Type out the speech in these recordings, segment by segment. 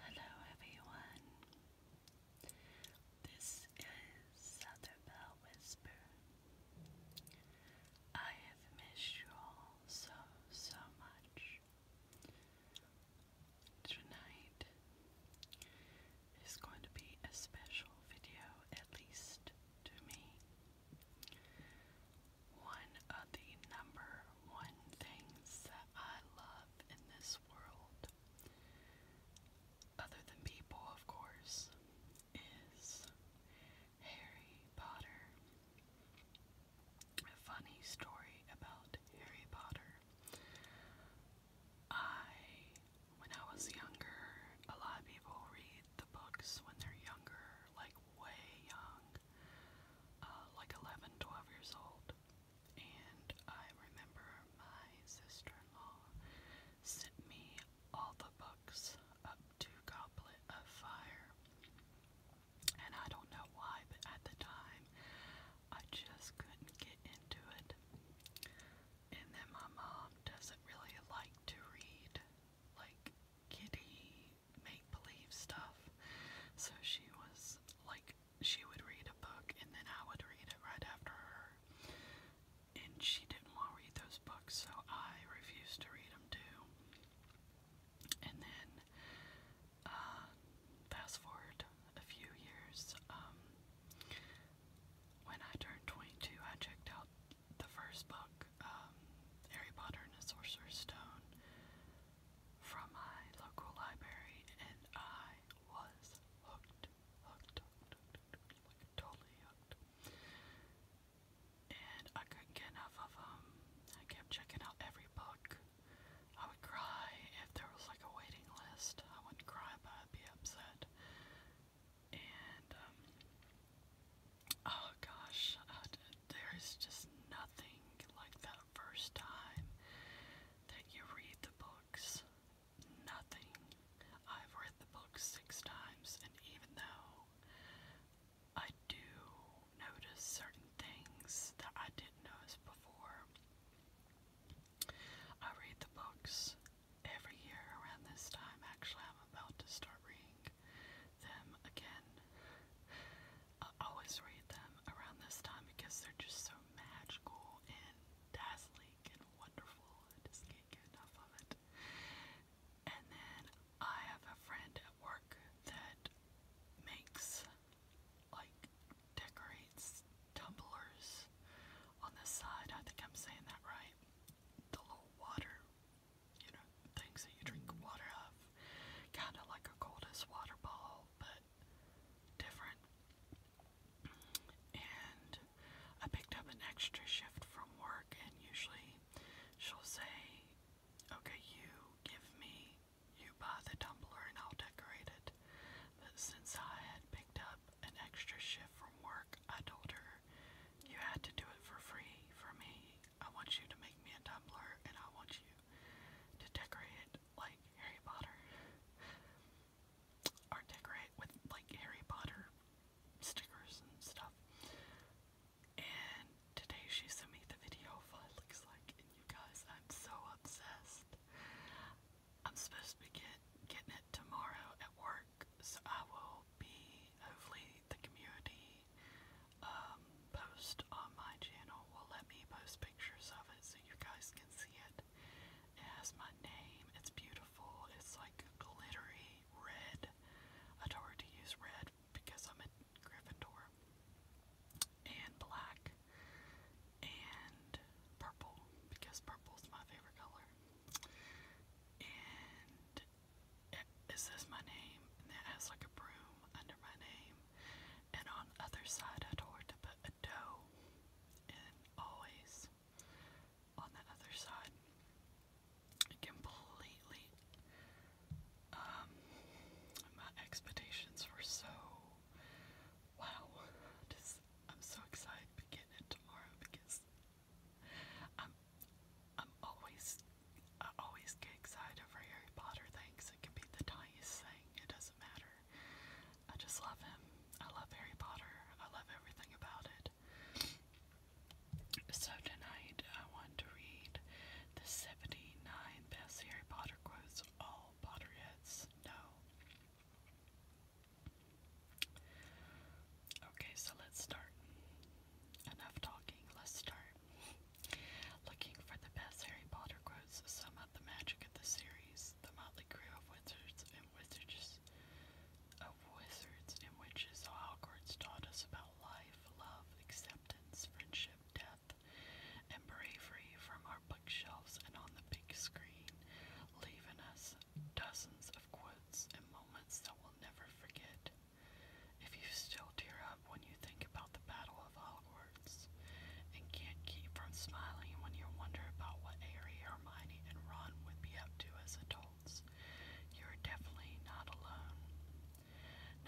Hello everyone. This is Southern Whisper. I have missed you all so so much. Tonight is going to be a special video, at least to me. One of the number one things that I love in this world, other than people, of course, is Harry Potter. A funny story about Harry Potter. I, when I was younger, a lot of people read the books when they're younger, like way young, uh, like 11, years old. And I remember my sister in law sent me all the books up to Goblet of Fire. And I don't know why, but at the time I just couldn't get into it. And then my mom doesn't really like to read like kitty make believe stuff. So she was like, she would read a book and then I would read it right after her. And she didn't want to read those books, so I refused to read them too. And then, uh, fast forward a few years, um, when I turned 22, I checked out the first book, um, Harry Potter and the Sorcerer's Stone from my local library, and I was hooked, hooked, hooked, totally hooked. And I couldn't get enough of them. I kept checking out every book. I would cry if there was like a waiting list. I wouldn't cry, but I'd be upset. And um, oh gosh, uh, there is just nothing like that first time that you read the books. Nothing. I've read the book six times, and even though I do notice certain things that I didn't notice before, I read the books every year around this time. Actually, I'm about to start reading them again. I always read them around this time because they're just so magical and dazzling and wonderful. I just can't get enough of it. And then I have a friend at work that makes, like, decorates tumblers on the side. I think I'm saying that right. The little water, you know, things that you drink water of. Kind of like a coldest water ball usual, but different. And I picked up an extra shift from work, and usually she'll say, Okay, you give me, you buy the tumbler, and I'll decorate it. But since I had picked up an extra shift from work, I told her, You had to do it for free for me. I want you to make me a tumbler, and I want you to decorate like Harry Potter. Or decorate with like Harry Potter stickers and stuff. And today she sent me the video of what it looks like, and you guys, I'm so obsessed. I'm supposed to be get, getting it tomorrow at work, so I will be, hopefully the community um, post on my channel will let me post pictures of it so you guys can see it. It has my name. It's beautiful. It's like glittery red. I told to use red because I'm a Gryffindor. And black. And purple because purple's my favorite color. And eh, it says my name and it has like a broom under my name and on the other side I tore to put a dough and always on the other side. Completely um my expectations were so wow. I'm so excited to begin it tomorrow because I'm I'm always I always get excited over Harry Potter things. It can be the tiniest thing, it doesn't matter. I just love him. I love Harry Potter. I love everything about it. So tonight I want to read the 79 best Harry Potter quotes all Potterheads know. Okay, so let's start. Enough talking, let's start. Looking for the best Harry Potter quotes to sum up the magic of the series, the motley crew of wizards and witches, of wizards and witches of Hogwarts taught us about life, love, acceptance, friendship, death, and bravery from our bookshelves and on the big screen, leaving us dozens of quotes and moments that we'll never forget. If you still tear up when you think about the Battle of Hogwarts, and can't keep from smiling when you wonder about what Harry, Hermione, and Ron would be up to as adults. You're definitely not alone.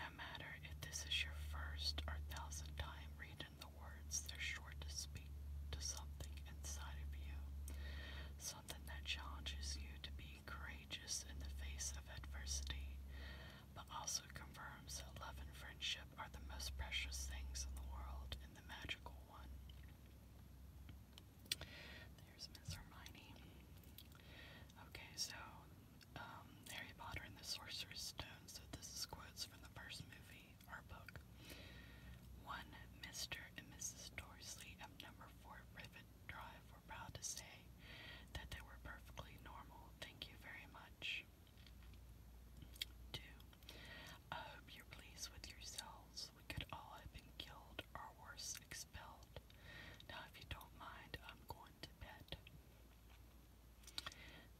No matter if this is your first or thousandth time reading the words, they're sure to speak to something inside of you. Something that challenges you to be courageous in the face of adversity but also confirms that love and friendship are the most precious things in the world and the magical one. There's Miss Hermione. Okay, so um, Harry Potter and the Sorcerer's Stone. So this is quotes from the first movie or book. One, Mr. and Mrs. Dorsley of number four Rivet Drive were proud to say that they were perfectly normal. Thank you very much. 2. I um, hope you're pleased with yourselves. We could all have been killed or worse, expelled. Now, if you don't mind, I'm going to bed.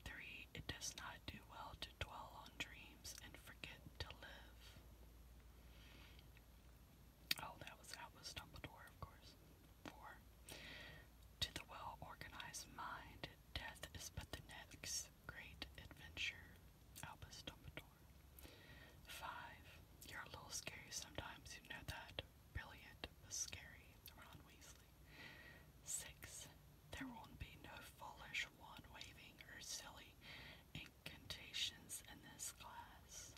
3. It does not do well to dwell on dreams and forget to live. Oh, that was that was Dumbledore, of course. 4. To the well organized mind, death is but the next great adventure. Albus Dumbledore. 5. You're a little scary sometimes, you know that. Brilliant, but scary. Ron Weasley. 6. There won't be no foolish wand waving or silly incantations in this class.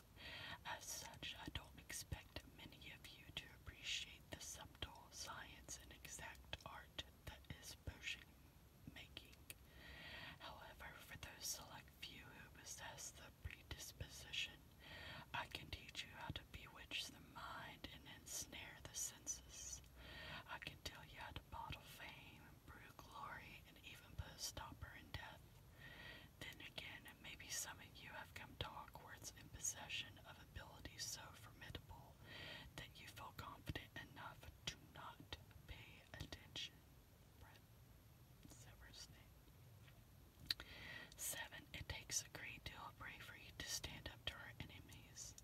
As such, I don't expect many of you to appreciate the subtle science and exact art that is potion making. However, for those select few who possess the predisposition, I can teach you how to bewitch the mind and ensnare the senses. I can tell you how to bottle fame, brew glory, and even put a stopper in death. Then again, maybe some you have come to Hogwarts in possession of abilities so formidable that you feel confident enough to not pay attention. Severus name. Seven, it takes a great deal of bravery to stand up to our enemies,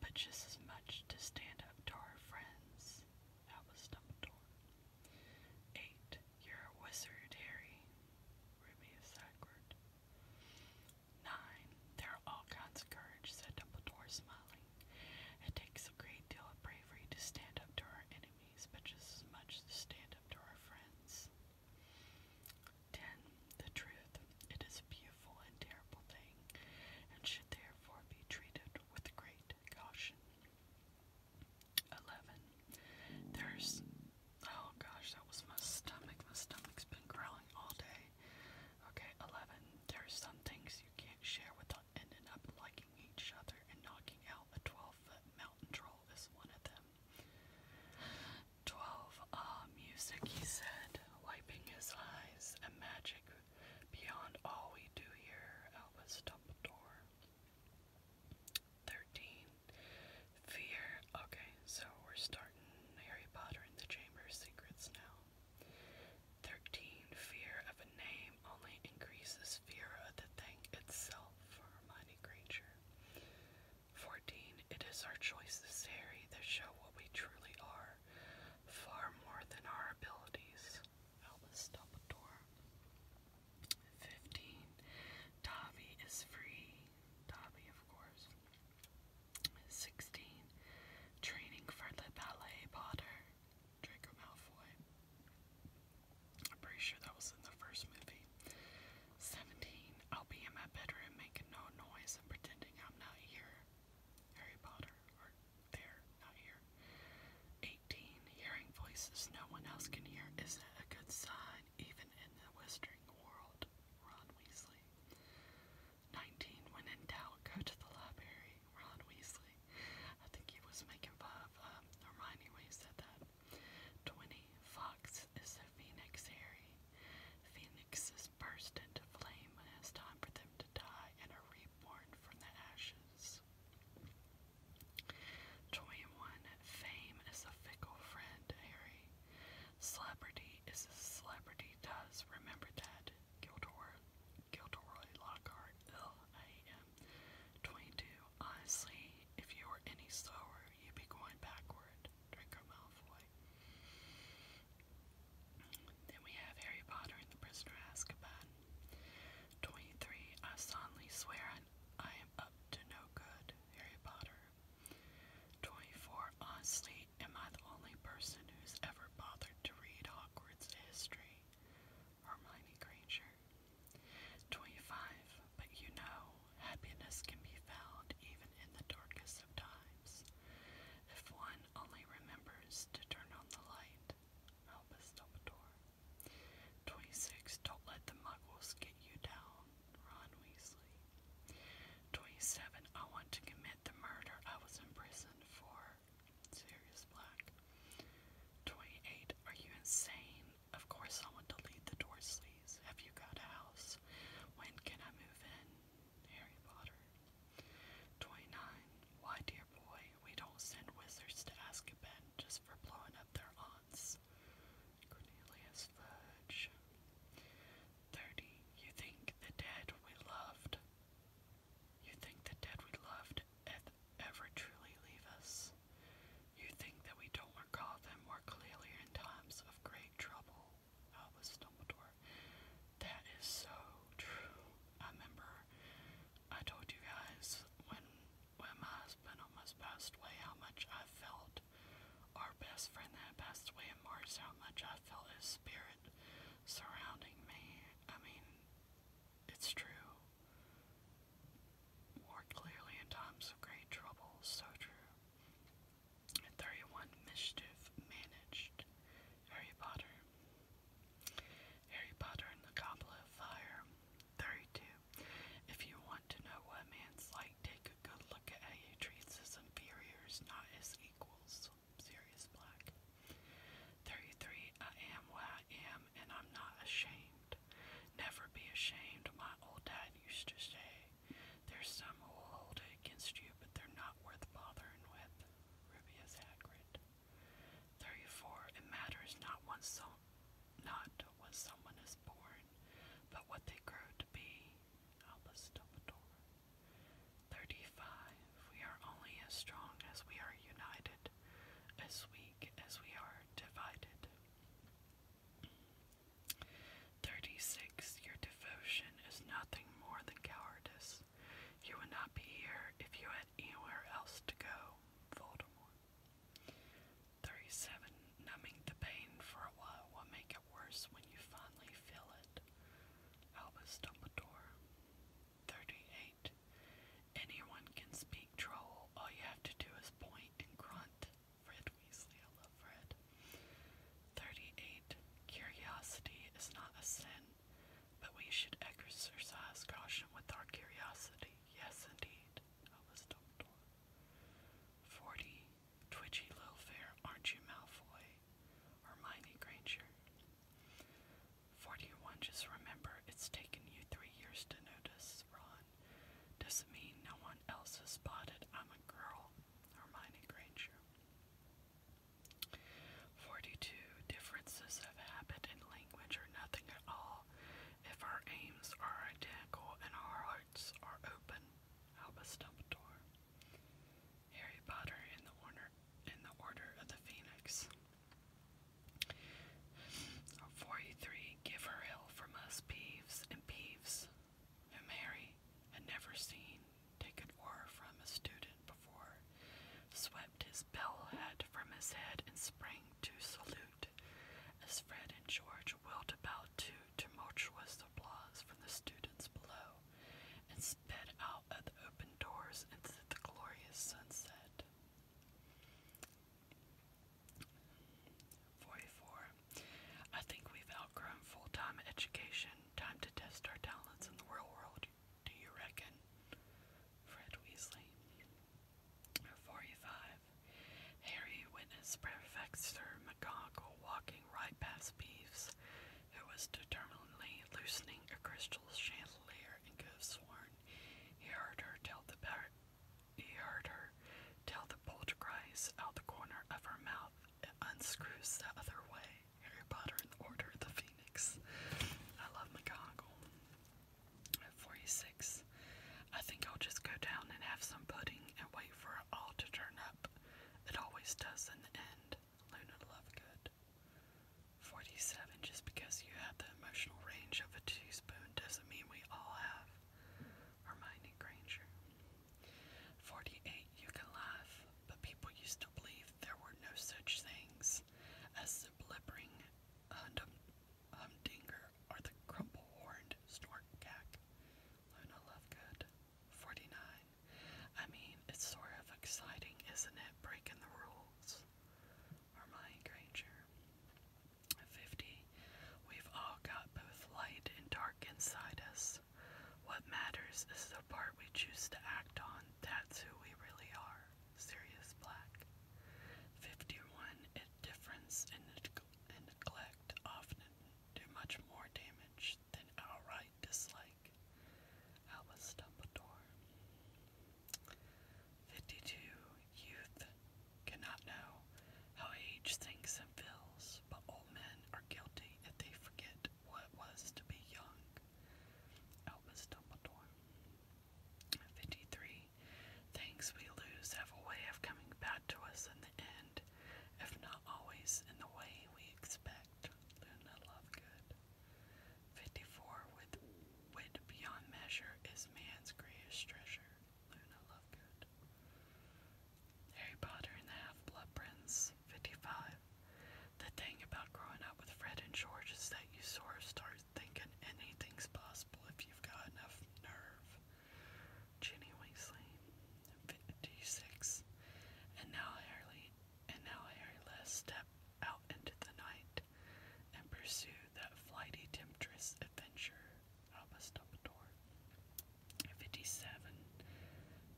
but just as much to stand up to our friends. That was Dumbledore. Eight, you're a wizard, Harry. Ruby is Nine. There are all kinds of courage, said Dumbledore, smiling. It takes a great deal of bravery to stand up to our enemies, but just as much to stand up to our friends. Ten. The truth. It is a beautiful and terrible thing, and should therefore be treated with great caution. Eleven. There's Oh gosh, that was my stomach. My stomach's been growling all day. Okay, 11. There some things you can't share without ending up liking each other, and knocking out a 12 foot mountain troll is one of them. 12. Uh, music, he said, wiping his eyes, A magic beyond all we do here, Albus Dumbledore. 13. Fear. Okay, so we're starting Harry Potter and the Chamber of Secrets now. 13. Fear of a name only increases fear of the thing itself Hermione Granger. 14. It is our choices, Harry, that show what we truly are, far more than our abilities. Albus oh, Dumbledore. 15. Dobby is free. Dobby, of course. 16. Training for the ballet potter. Draco Malfoy. I'm pretty sure that was in the first movie. 17. I'll be in my bedroom making no noise and pretending I'm not here. Harry Potter. Or there, not here. 18. Hearing voices no one else can hear isn't a good sign, even in the whispering world. Ron Weasley. 19. When in doubt, go to the library. Ron Weasley. I think he was making five. Um, Hermione Way said that. 20. Fox is the phoenix Harry. Phoenixes burst into flame when it's time for them to die and are reborn from the ashes. 21. Fame is a fickle friend, Harry. Celebrity is as celebrity does. Remember that. Gilderoy, Gilderoy Lockhart, L.A.M. 22. Honestly, if you were any slower, you'd be going backward. Draco Malfoy. Then we have Harry Potter and the Prisoner of Azkaban. 23. I solemnly swear I am up to no good. Harry Potter. 24. Honestly, am I the only person who's ever bothered to read Hogwarts history? Hermione Granger. 25. But you know, happiness can be found even in the darkest of times. If one only remembers to turn on the light, help Dumbledore. 26. Don't let the muggles get you down. Ron Weasley. 27. I want to commit the murder I was imprisoned for. Sirius Black. 28. Are you insane? Of course I want to lead the Dorsleys. Have you got a house? When can I move in? Harry Potter. 29. Why, dear boy, we don't send wizards to Azkaban just for blowing up their aunts. Cornelius is 30. You think the dead we loved. You think the dead we loved ever truly leave us. You think that we don't recall them more clearly in times of great trouble. Albus oh, Dumbledore. That is so true. I remember I told you guys when when my husband almost passed away how much I felt our best friend that passed away in March, how much I felt his spirit surrounding me. I mean, it's true. More clearly in times of great trouble, so true. 31 Mischief Managed Harry Potter. Harry Potter and the Goblet of Fire. 32 if you want to know what a man's like, take a good look at how he treats his inferiors, not his equals. Sirius Black. 33. I am what I am, and I'm not ashamed. Never be ashamed, my old dad used to say. There's some who will hold it against you, but they're not worth bothering with. Rubius Hagrid. 34. It matters not one's so not to what someone is born, but what they grow to be. Alice Dumbledore. 35. We are only as strong as we are united, as weak as we are divided. 36. Your devotion is nothing more than cowardice. You would not be here if you had anywhere else to go. Voldemort. 37. Numbing the pain for a while will make it worse when you finally feel it. Albus Dumbledore. 38. Anyone can speak troll. All you have to do is point and grunt. Fred Weasley. I love Fred. 38. Curiosity is not a sin, but we should exercise caution with our curiosity. Yes, indeed. Albus Dumbledore. 40. Twitchy Lowfair, aren't you, Malfoy? Hermione Granger. 41, just remember, it's taken you three years to notice, Ron. Doesn't mean no one else has spotted I'm a girl, Hermione Granger. 42, differences of habit and language are nothing at all if our aims are identical and our are open. Albus-Dumbledore. Harry Potter in the Order in the Order of the Phoenix. Forty-three. Give her hell from us, Peeves and Peeves, whom Harry had never seen take an order from a student before, swept his bell hat from his head and sprang to salute as Fred and George which whirled to tumultuous applause from the students below, and sped out at the open doors into the glorious sunset. 44. I think we've outgrown full time education. Time to test our talents in the real world, do you reckon? Fred Weasley. 45. Harry witnessed Prefecture McGonagall walking right past Peeves, who was determinedly loosening a crystal chandelier, and could have sworn he heard her tell the he heard her tell the poltergeist out the corner of her mouth. It unscrews the other way. Harry Potter and Order of the Phoenix. I love McGonagall. At 46. I think I'll just go down and have some pudding and wait for it all to turn up. It always does in the end. Luna Lovegood. 47. Just because you have the emotional range of a teaspoon doesn't mean we all have. Hermione Granger. 48. You can laugh, but people used to believe there were no such things as the humdinger are the crumple-horned snortcack, Luna Lovegood, 49. I mean, it's sort of exciting, isn't it, breaking the rules? Hermione Granger, 50. We've all got both light and dark inside us. What matters is the part we choose to act on. That's who we really are. Sirius Black. 51. A difference in, in neglect often do much more damage than outright dislike. How was Dumbledore? 52. Youth cannot know how age thinks and feels, but old men are guilty if they forget what it was to be young. Albus Dumbledore. 53. Things we lose have a way of coming back to us in the end, if not always in the way we expect. Luna Lovegood. 54. With wit beyond measure is man's greatest treasure. Luna Lovegood. Harry Potter and the Half Blood Prince. 55. The thing about growing up with Fred and George is that you sort of start thinking anything's possible if you've got enough nerve. Jenny Weasley, 56, and now Harry, and now Harry Les step out into the night and pursue that flighty temptress adventure. Albus Dumbledore, 57.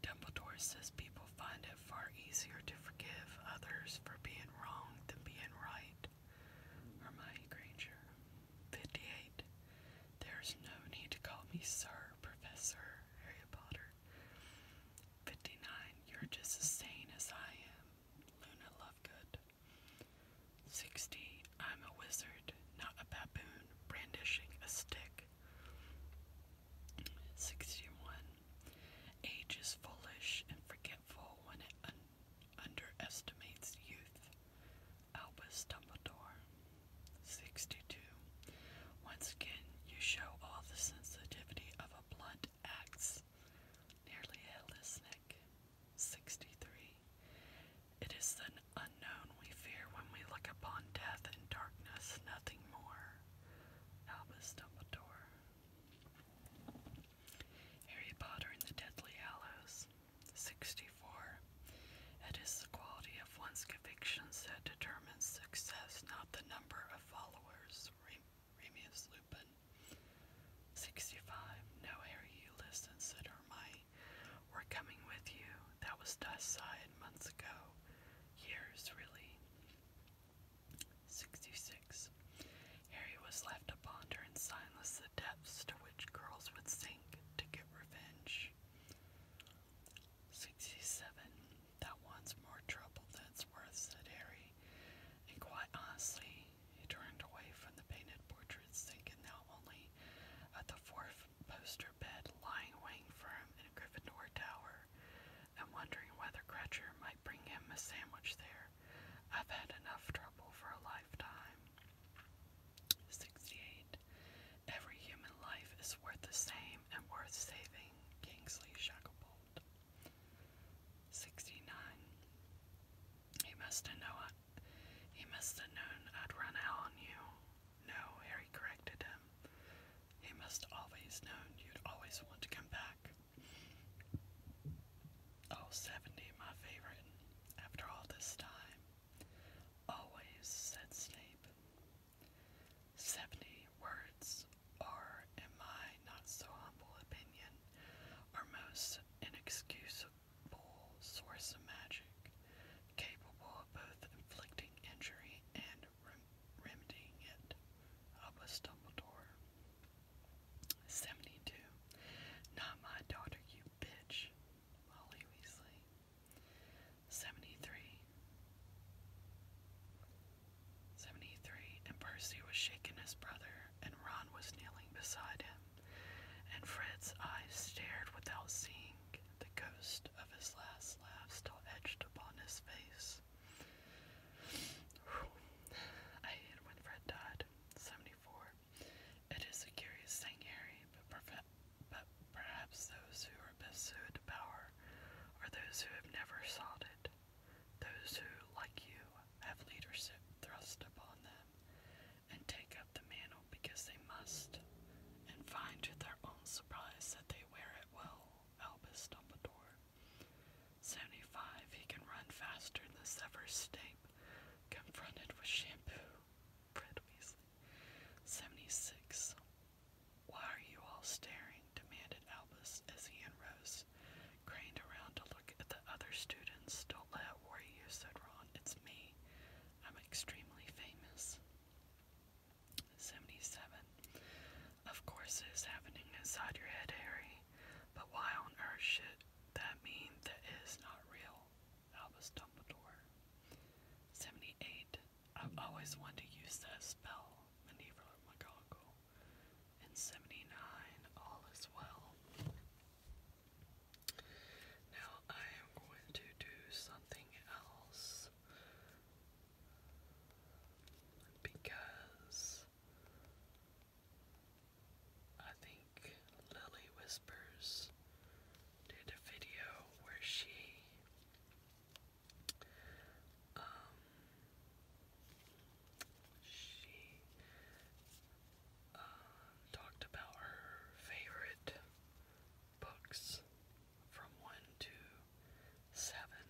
Dumbledore says people find it far easier to forgive others for being wrong than being right. Hermione Granger, 58. There's no need to call me Sir, Professor, Harry Potter. 59. You're just as sane as I am, Luna Lovegood. 60. I'm a wizard, not a baboon, brandishing a stick. 61. Age is foolish and forgetful when it underestimates youth. Albus Dumbledore. 62. Once again, you show all the sensitivity of a blunt axe, nearly at his neck. 63. It is the unknown we fear when we look upon death and darkness, nothing more. Albus Dumbledore. Harry Potter and the Deadly Hallows. 64. It is the quality of one's convictions that determines success, not the number of followers. Remius Lupin. 65. No, Harry, you listen, said Hermione. We're coming with you. That was decided months ago. Years, really. 66. Harry was left to ponder in silence the depths to which girls would sink to get revenge. 67. That one's more trouble than's worth, said Harry. And quite honestly, he turned away from the painted portraits, thinking now only of the fourth poster bed lying waiting for him in Gryffindor Tower, and wondering whether Gretcher might bring him a sandwich there. I've had enough trouble for a lifetime. 68. Every human life is worth the same and worth saving, Kingsley Shacklebolt. 69. He must have known he must have known I'd run out on you. No, Harry corrected him. He must always known you'd always want to come back. Oh, my favorite. After all this time, Always, said Snape. Seventy words, or in my not so humble opinion, are most inexcusable source of magic, capable of both inflicting injury and remedying it. Of a Dumbledore. 72. Not my daughter, you bitch, Molly Weasley. 73. And Percy was shaking his brother, and Ron was kneeling beside him, and Fred's eyes stared without seeing. The ghost of his last laugh still etched upon his face. I hate when Fred died. 74. It is a curious thing, Harry, but, perhaps those who are best suited to power are those who have never sought it, those who, like you, have leadership thrust upon them and take up the mantle because they must, and find to their own surprise that they wear it well, Albus Dumbledore. 75. He can run faster than the Severus state. confronted with shampoo. Fred Weasley. 76. Why are you all staring? demanded Albus as he and rose, craned around to look at the other students. Don't let it worry you, said Ron. It's me. I'm extremely famous. 77. Of course it is happening inside your head, Harry. But why on earth should that mean that it is not real? Albus Dumbledore. 78. I've always wanted to use that spell, Maneuver McGonagall. And 79. All is well. Now I am going to do something else because I think Lily Whispers did a video where she um she uh, talked about her favorite books from one to seven,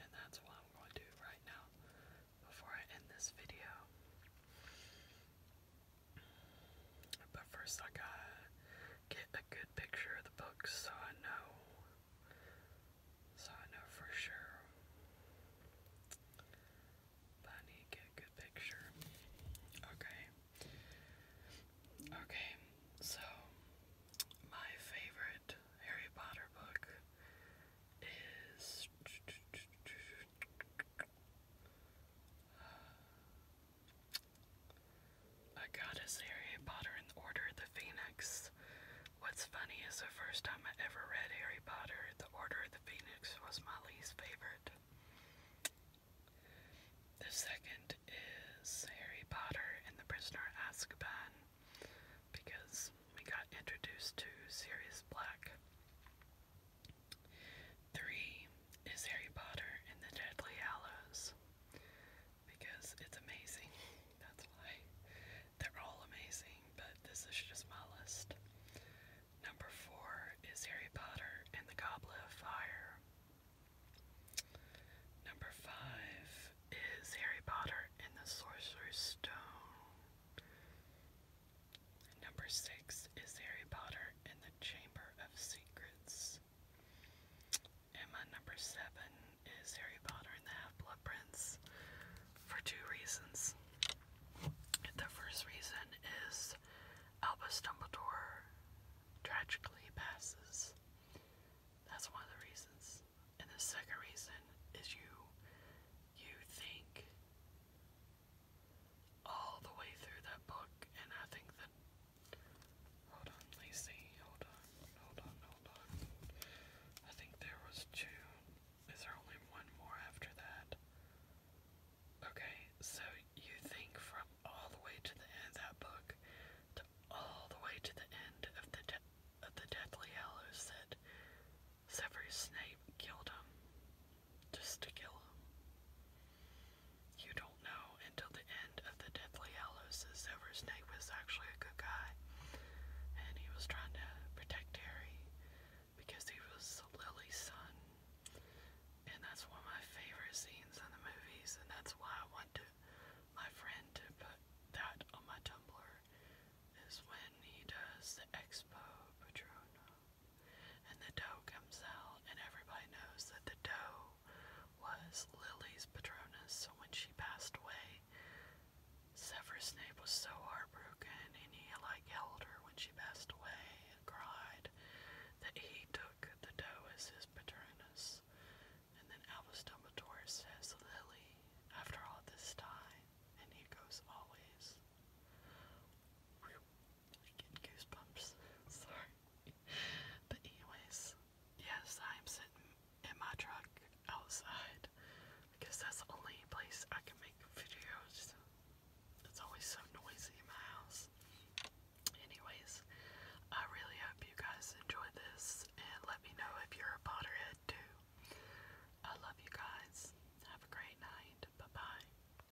and that's what I'm going to do right now before I end this video. But first, I gotta get a good picture of the book so I know. So I know for sure. But I need get good picture. Okay. Okay, so my favorite Harry Potter book is. Uh, I got as Harry Potter and the Order of the Phoenix. What's funny is the first time I ever read Harry Potter, the Order of the Phoenix was my least favorite. The second is Harry Potter and the Prisoner of Azkaban because we got introduced to Sirius Black. Three is Harry Potter and the Deadly Hallows because it's amazing. That's why they're all amazing, but this is just my list. Number four is Harry Potter and the Goblet of Fire. Number five is Harry Potter and the Sorcerer's Stone. Number six is Harry Potter and the Chamber of Secrets. And my number seven is Harry Potter and the Half-Blood Prince for two reasons. The first reason is Albus Dumbledore tragically passes. That's one of the reasons. And the second reason is you you think all the way through that book, and I think that. Hold on, let Hold on, hold on, hold on. I think there was two. Is there only one more after that? Okay, so you think from all the way to the end of that book to all the way to the end of the of the Deathly Hallows that Severus Snape killed him just to kill him. You don't know until the end of the Deathly Hallows that Silver Snake was actually a good guy, and he was trying to protect Harry because he was Lily's son. And that's one of my favorite scenes in the movies, and that's why I want to, my friend to put that on my Tumblr, is when he does the Expo Patrona and the doe comes out, and everybody knows that the doe was Lily's Patronus. So when she passed away, Severus Snape was so heartbroken, and he like held her when she passed away and cried that he took the doe as his Patronus. And then Albus Dumbledore says, Lily, after all this time, and he goes always. I get goosebumps. Sorry. But anyways, yes, I am sitting in my truck outside because that's the only place I can make videos. It's always so noisy in my house. Anyways, I really hope you guys enjoy this and let me know if you're a Potterhead too. I love you guys. Have a great night. Bye bye.